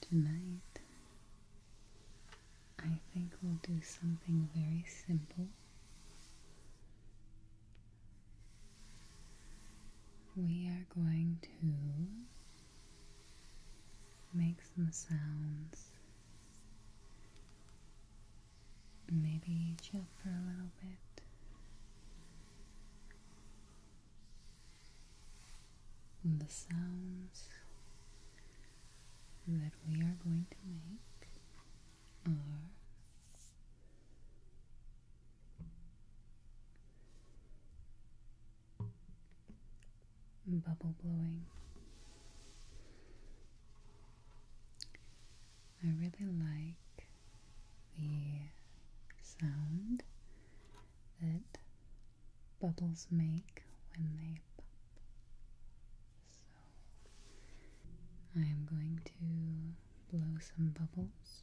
Tonight, I think we'll do something very simple. We are going to make some sounds. Maybe chill for a little bit the sounds that we are going to make are bubble blowing. I really like the sound that bubbles make when they pop. So I am going to blow some bubbles.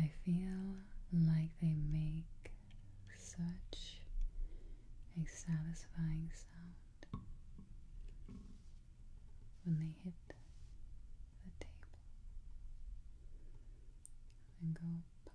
I feel like they make such a satisfying sound when they hit the table and go pop,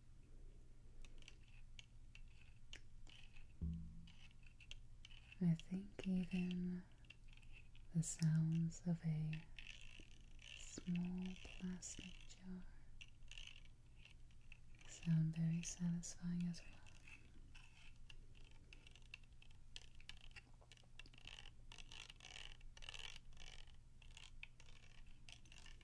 I think even the sounds of a small plastic jar sound very satisfying as well.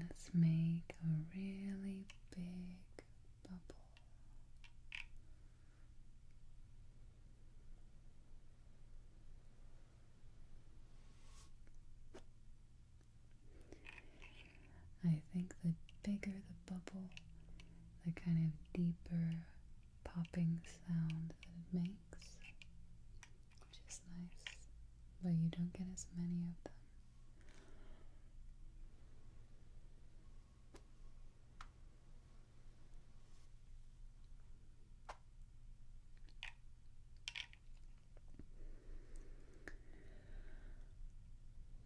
Let's make a really big bubble. I think the bigger the bubble, the kind of deeper popping sound that it makes, which is nice, but you don't get as many of them.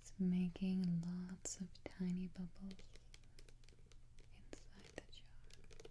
It's making lots of tiny bubbles inside the jar.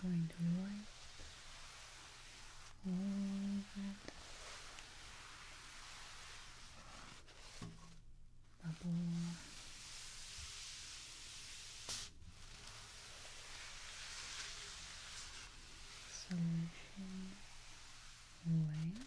Going to wipe all that bubble. Solution away.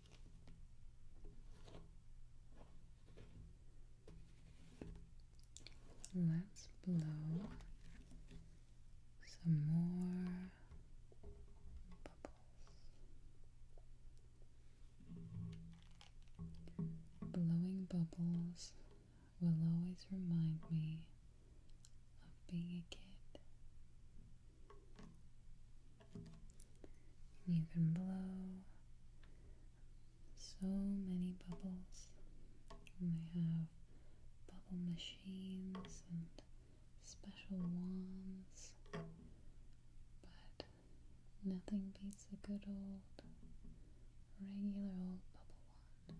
Let's blow some more bubbles. Blowing bubbles will always remind me of being a kid you can blow so many bubbles. And they have bubble machines and special wands. But nothing beats a good old, regular old bubble wand.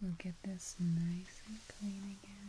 We'll get this nice and clean again.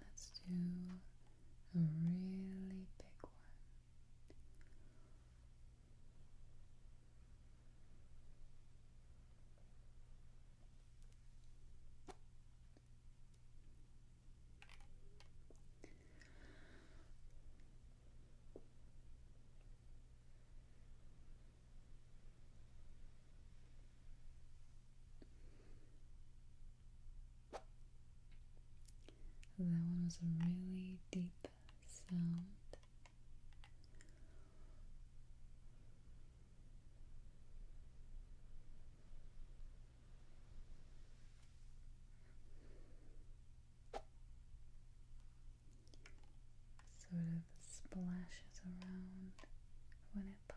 Let's do a really big one. That one was a really deep sound sort of splashes around when it pops.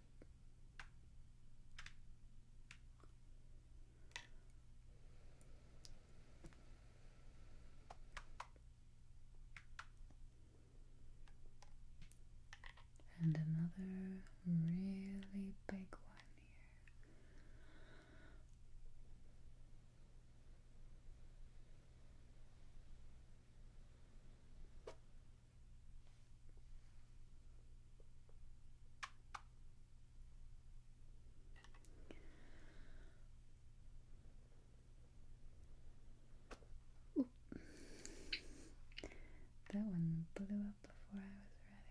And another really big one here. Ooh. That one blew up before I was ready.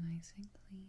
nice and clean.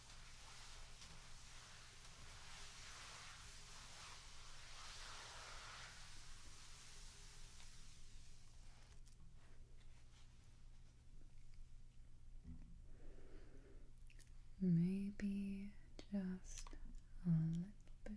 Maybe just a little bit more.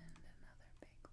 and another big one.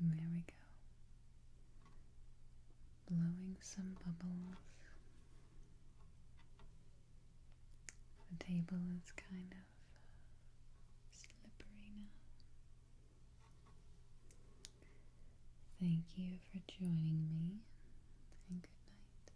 There we go. Blowing some bubbles. The table is kind of uh, slippery now. Thank you for joining me, and good night.